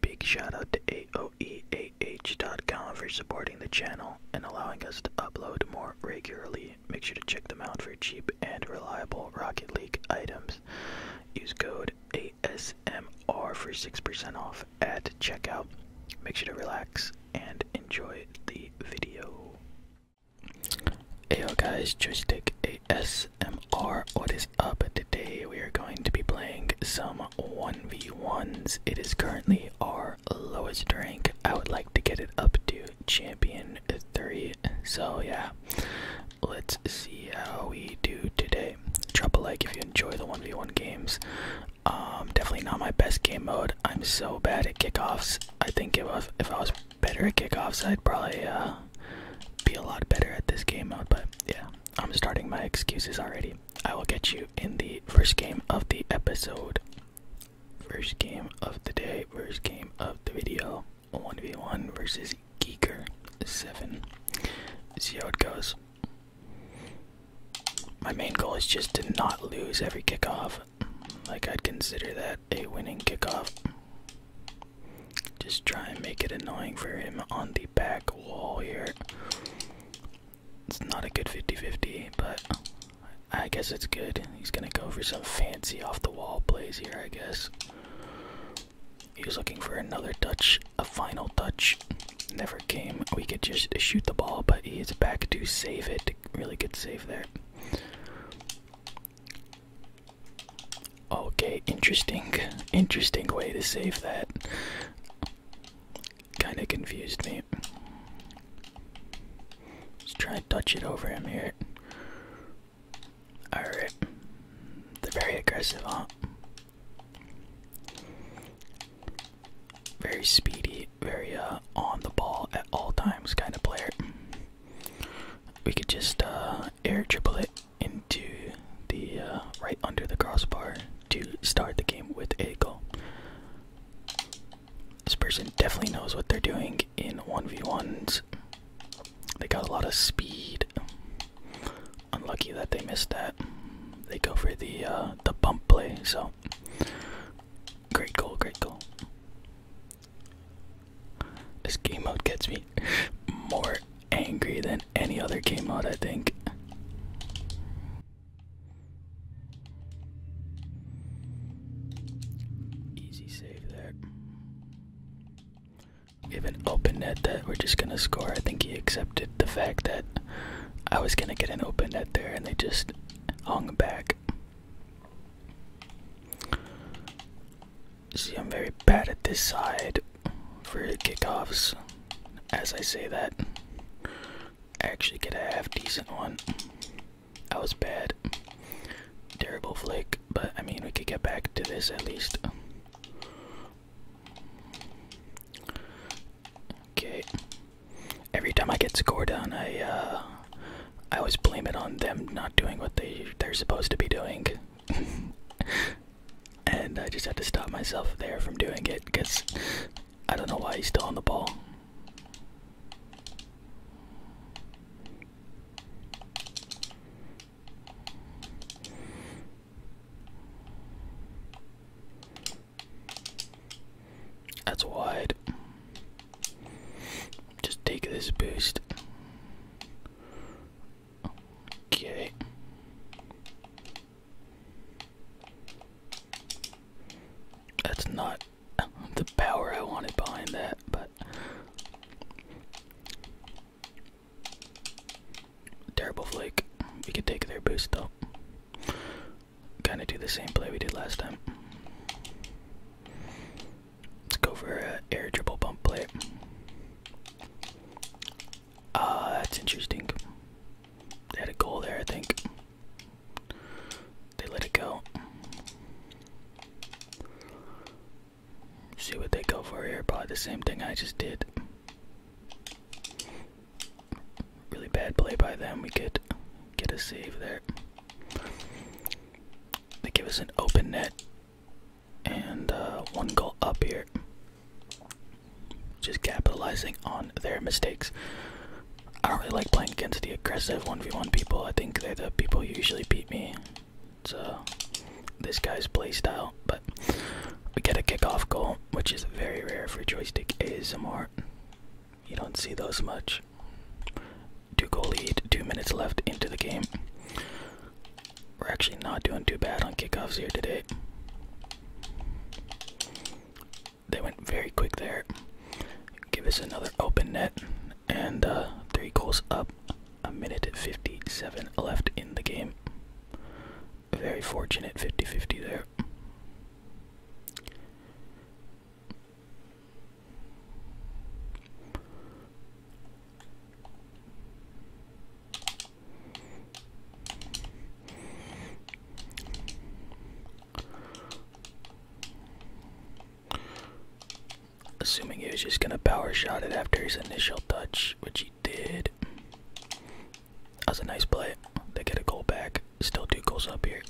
Big shout out to AOEAH.com for supporting the channel and allowing us to upload more regularly. Make sure to check them out for cheap and reliable Rocket League items. Use code ASMR for 6% off at checkout. Make sure to relax and enjoy the video. Heyo guys, Joystick ASMR, what is up? Today we are going to be playing some 1v1s. It is currently our lowest rank. I would like to get it up to champion 3. So yeah. Let's see how we do today. Drop a like if you enjoy the 1v1 games. Um, definitely not my best game mode. I'm so bad at kickoffs. I think if I was, better at kickoffs I'd probably uh, be a lot better at this game mode, but yeah, I'm starting my excuses already. I will get you in the first game of the episode. First game of the day, first game of the video. 1v1 versus Geeker7. See how it goes. My main goal is just to not lose every kickoff. Like, I'd consider that a winning kickoff. Just try and make it annoying for him on the back wall here. It's not a good 50 50, but I guess it's good. He's gonna go for some fancy off the wall plays here, I guess. he's looking for another touch, a final touch. Never came. We could just shoot the ball, but he is back to save it. Really good save there. Okay, interesting. Interesting way to save that. Kind of confused me. Let's try and touch it over him here. Alright. They're very aggressive, huh? Very speedy, very uh, on the ball at all times kind of player. We could just uh, air triple it into the uh, right under the crossbar to start the game with a goal. This person definitely knows what they're doing in 1v1s. They got a lot of speed. Unlucky that they missed that. They go for the uh, the bump play, so great goal, great goal. This game mode gets me more angry than any other game mode, I think. Easy an open net that we're just gonna score. I think he accepted the fact that I was gonna get an open net there and they just hung back. See, I'm very bad at this side for the kickoffs. As I say that, I actually get a half decent one. I was bad. Terrible flick, but I mean, we could get back to this at least. Okay. Every time I get scored on, I uh, I always blame it on them not doing what they they're supposed to be doing. and I just had to stop myself there from doing it because I don't know why he's still on the ball. That's wide. Just take this boost. Okay. That's not the power I wanted behind that, but terrible flake. We could take their boost though. Kind of do the same play we did last time. Let's go for a air dribble bump play. Uh, that's interesting. They had a goal there, I think. They let it go. See what they go for here. Probably the same thing I just did. Really bad play by them. We could get a save there. They give us an open net and uh, one goal up here. Just capitalizing on their mistakes. I don't really like playing against the aggressive 1v1 people. I think they're the people who usually beat me. So this guy's play style. But we get a kickoff goal, which is very rare for joystick ASMR. You don't see those much. Two goal lead, two minutes left into the game. We're actually not doing too bad on kickoffs here today. They went very quick there. Give us another open net. And uh, three goals up. A minute 57 left in the game. Very fortunate 50 50 there. Assuming he was just gonna power shot it after his initial touch, which he did. That's a nice play. They get a goal back. Still two goals up here.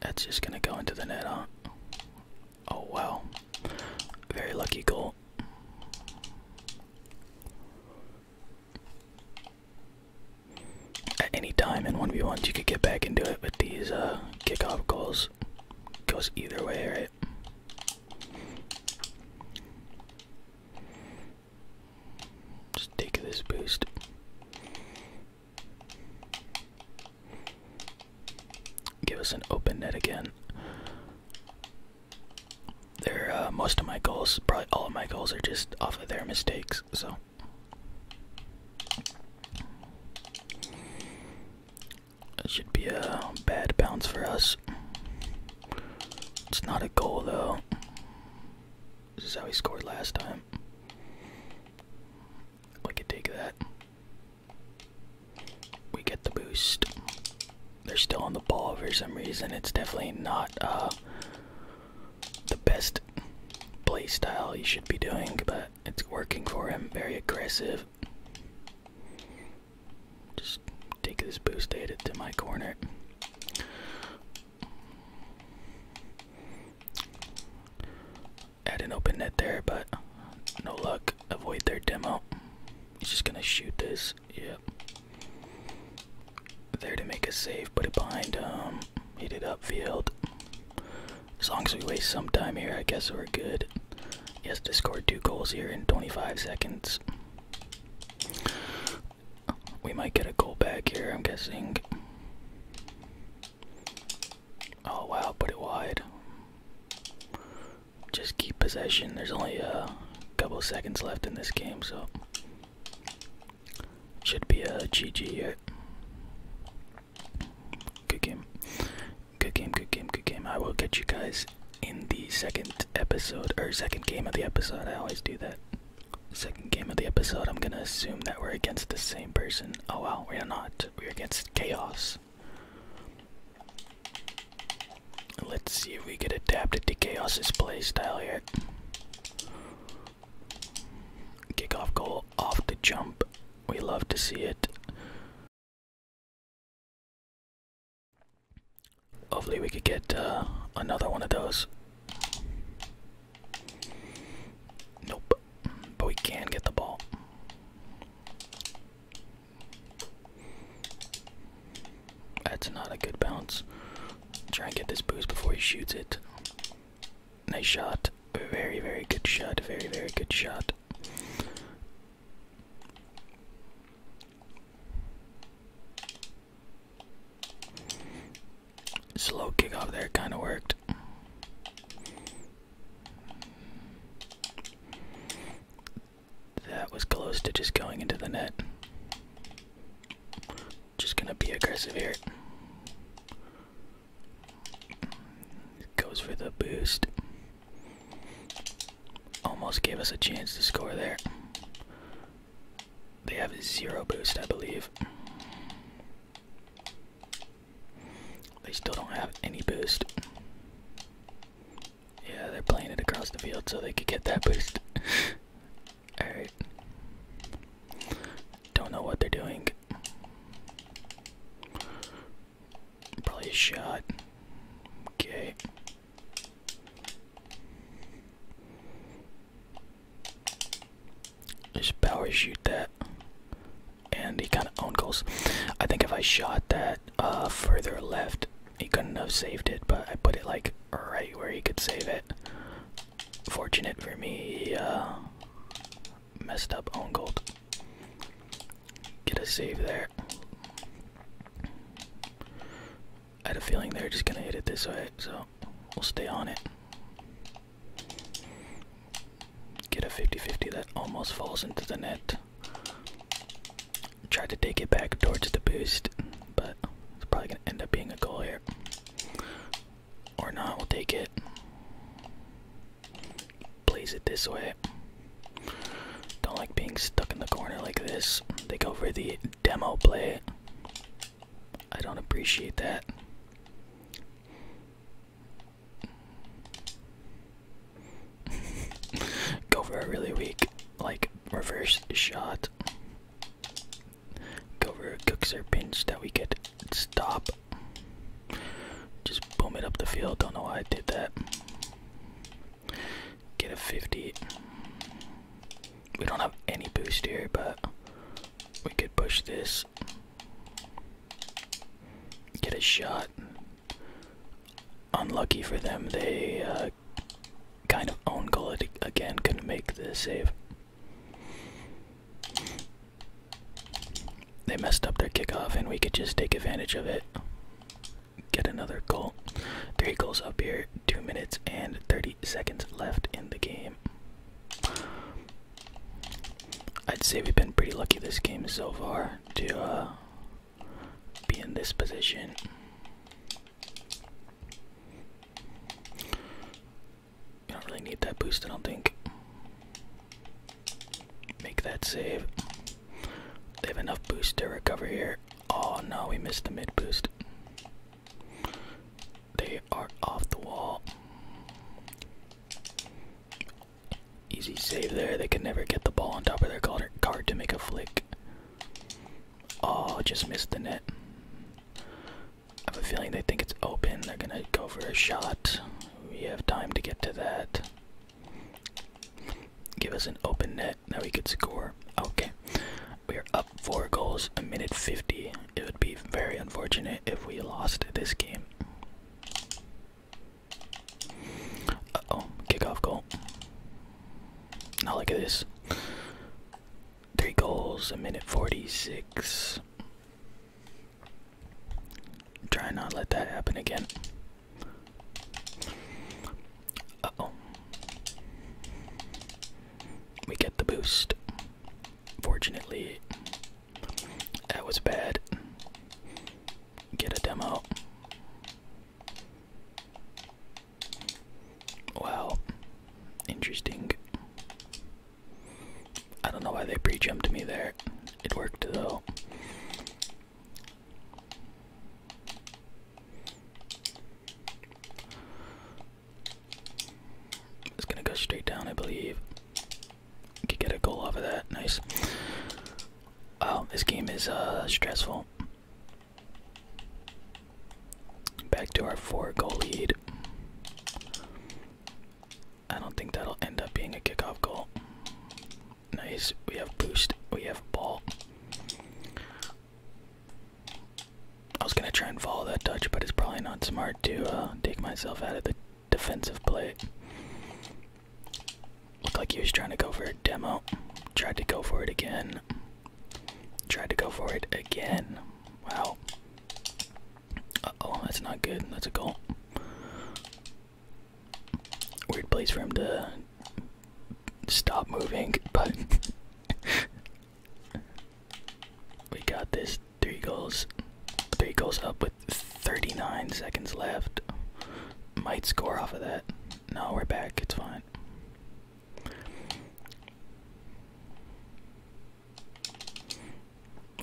That's just gonna go into the net, huh? Oh wow. Very lucky goal. At any time in 1v1s, you could get back into it, with these uh, kick off goals goes either way, right? Just take this boost. Give us an open net again. they uh, most of my goals, probably all of my goals, are just off of their mistakes, so. That should be a bad bounce for us. It's not a goal, though. This is how he scored last time. We could take that. We get the boost. They're still on the ball for some reason. It's definitely not uh, the best play style he should be doing, but it's working for him. Very aggressive. Just take this boost, aid to my corner. I didn't open net there, but no luck. Avoid their demo. He's just gonna shoot this. Yep. There to make a save. Put it behind him. Um, Hit it upfield. As long as we waste some time here, I guess we're good. Yes, to score two goals here in 25 seconds. We might get a goal back here, I'm guessing. Oh wow, put it wide. Just keep possession. There's only a couple seconds left in this game, so should be a GG here. Good game. Good game, good game, good game. I will get you guys in the second episode or second game of the episode. I always do that. Second game of the episode, I'm gonna assume that we're against the same person. Oh well, we are not. We're against Chaos. Let's see if we get adapted to Chaos's playstyle here. Kickoff goal off the jump. We love to see it. Hopefully, we could get uh, another one of those. Nope. But we can get the ball. That's not a good bounce. Try and get this boost before he shoots it. Nice shot. Very, very good shot. Very, very good shot. Slow kick off there kind of worked. That was close to just going into the net. Just gonna be aggressive here. Goes for the boost. Almost gave us a chance to score there. They have zero boost, I believe. They still don't have any boost. Yeah, they're playing across the field so they could get that boost. Alright. Don't know what they're doing. Probably a shot. Okay. His power shoot that. And he kind of own goals. I think if I shot that uh, further left, he couldn't have saved it, but I put it like right where he could save it. Fortunate for me, he uh, messed up own goal. Get a save there. I had a feeling they are just gonna hit it this way, so we'll stay on it. Get a 50-50 that almost falls into the net. Tried to take it back towards the boost, but it's probably gonna end up being a goal here. Or not, we'll take it. Plays it this way. Don't like being stuck in the corner like this. They go for the demo play. I don't appreciate that. Go for a really weak, like, reverse shot. Go for a cookser pinch that we could stop. Just boom it up the field. Don't know why I did that. Get a 50. We don't have any boost here, but we could push this. Get a shot. Unlucky for them, they uh, kind of own goal it again, couldn't make the save. They messed up their kickoff, and we could just take advantage of it. Get another goal. Three goals up here, 2 minutes and 30 seconds left in the game. I'd say we've been pretty lucky this game so far to uh, be in this position. You don't really need that boost, I don't think. Make that save. They have enough boost to recover here. Oh no, we missed the mid boost. They are off the wall. Easy save there. They can never get the ball on top of their card to make a flick. Oh, just missed the net. I have a feeling they think it's open. They're gonna go for a shot. We have time to get to that. Give us an open net. Now we could score. Okay, we are up four goals, a minute 50. It would be very unfortunate if we lost this game. Uh oh, kickoff goal. Now look at this. Three goals, a minute 46. Try not let that happen again. Uh oh. We get the boost. Fortunately, that was bad. Get a demo. Wow. Interesting. I don't know why they pre jumped me there. It worked though. It's gonna go straight down, I believe. Could get a goal off of that. Nice. Oh, this game is uh, stressful. Back to our four-goal lead. I don't think that'll end up being a kickoff goal. Nice. We have boost. We have ball. I was gonna try and follow that touch, but it's probably not smart to uh, take myself out of the defensive play. Looked like he was trying to go for a demo. Tried to go for it again. Tried to go for it again. Wow. Uh oh, that's not good. That's a goal. Weird place for him to stop moving, but we got this. Three goals. Three goals up with 39 seconds left. Might score off of that. No, we're back. It's fine.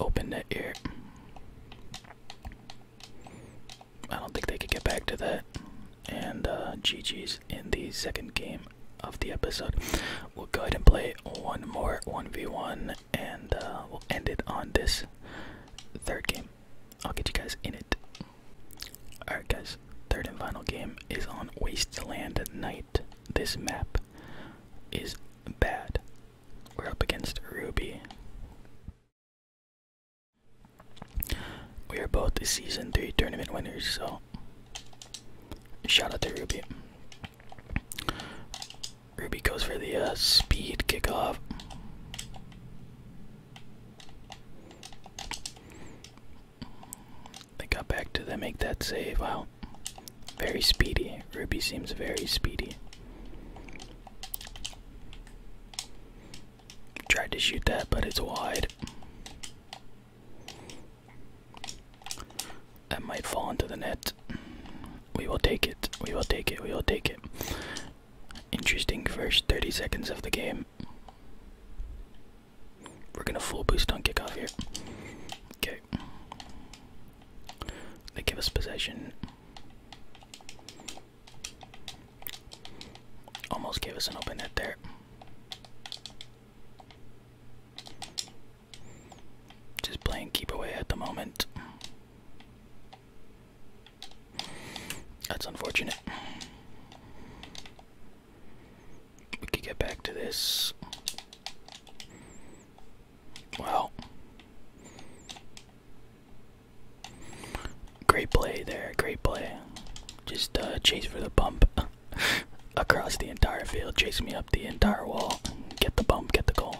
Open that ear. I don't think they could get back to that and uh, GG's in the second game of the episode. We'll go ahead and play one more 1v1 and uh, we'll end it on this third game. I'll get you guys in it. Alright, guys, third and final game is on Wasteland Night. This map is bad. We're up against Ruby. We are both season 3 tournament winners, so Shout out to Ruby. Ruby goes for the uh, speed kickoff. They got back to them, make that save. Wow. Very speedy. Ruby seems very speedy. Tried to shoot that, but it's wide. That might fall into the net. We will take it. We will take it. We will take it. Interesting first 30 seconds of the game. We're gonna full boost on kick off here. Okay. They give us possession. Almost gave us an open net there. Just playing keep away at the moment. That's unfortunate. We could get back to this. Wow. Great play there, great play. Just uh, chase for the bump across the entire field. Chase me up the entire wall. Get the bump, get the goal.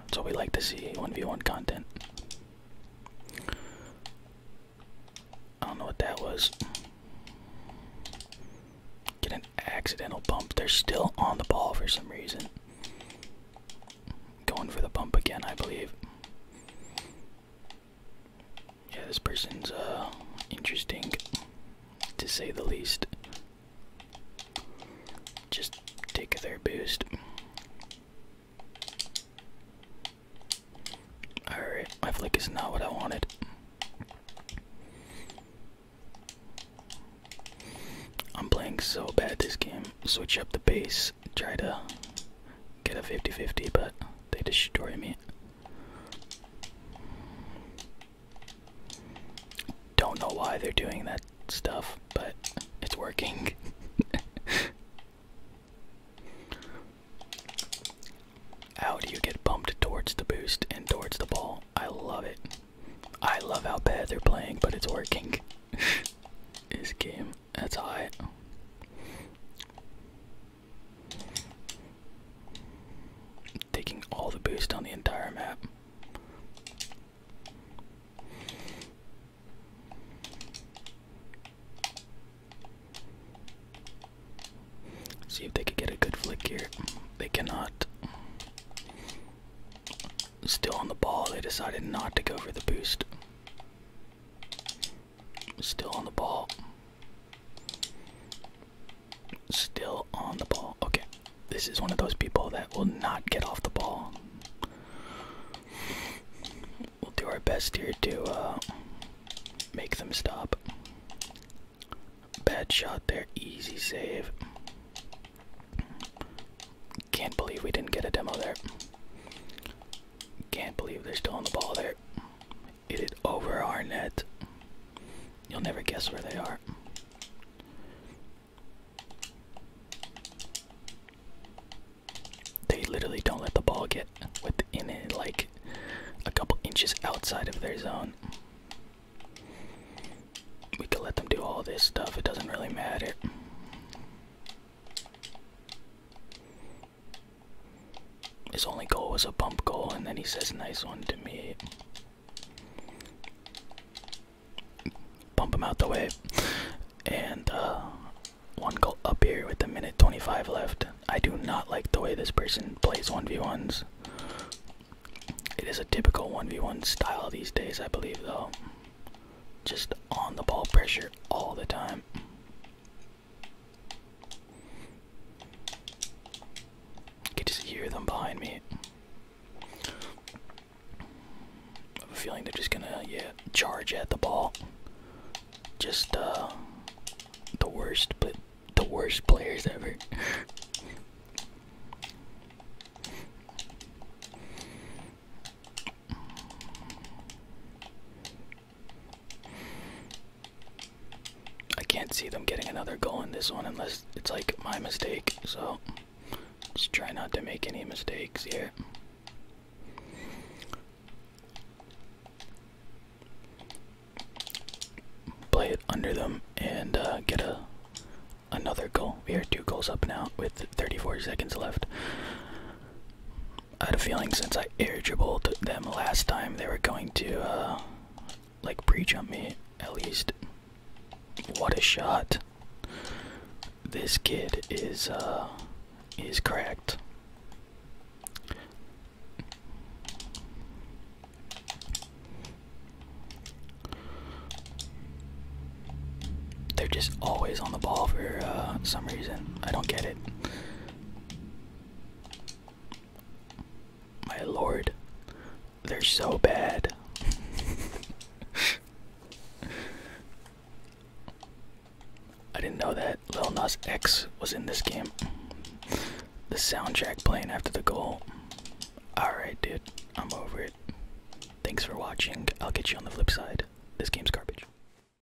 That's what we like to see 1v1 content. I don't know what that was. Get an accidental bump. They're still on the ball for some reason. Going for the bump again, I believe. Yeah, this person's uh interesting to say the least. Just take a third boost. Alright, my flick is not what I wanted. I'm playing so bad this game. Switch up the base, try to get a 50 50, but they destroy me. Don't know why they're doing that stuff, but it's working. how do you get bumped towards the boost and towards the ball? I love it. I love how bad they're playing, but it's working. this game, that's high. Taking all the boost on the entire map. See if they could get a good flick here. They cannot. Still on the ball, they decided not to go for the boost. Still on the ball. Still on the ball. Okay. This is one of those people that will not get off the ball. We'll do our best here to uh, make them stop. Bad shot there. Easy save. Can't believe we didn't get a demo there. Can't believe they're still on the ball there. Get it over our net. You'll never guess where they are. They literally don't let the ball get within it, like a couple inches outside of their zone. We could let them do all this stuff, it doesn't really matter. His only goal was a bump goal, and then he says, Nice one to me. Bump him out the way. And uh, one goal up here with the minute 25 left. I do not like the way this person plays 1v1s. It is a typical 1v1 style these days, I believe, though. Just on the ball pressure all the time. I can just hear them behind me. feeling they're just gonna, yeah, charge at the ball. Just uh, the worst, but the worst players ever. I can't see them getting another goal in this one unless it's like my mistake. So just try not to make any mistakes here. Play it under them and uh, get a another goal. We are two goals up now with 34 seconds left. I had a feeling since I air dribbled them last time, they were going to, uh, like pre-jump me at least. What a shot! This kid is, uh, is cracked. They're just always on the ball for uh, some reason. I don't get it. My lord, they're so bad. I didn't know that Lil Nas X was in this game. The soundtrack playing after the goal. Alright, dude, I'm over it. Thanks for watching. I'll get you on the flip side. This game's garbage.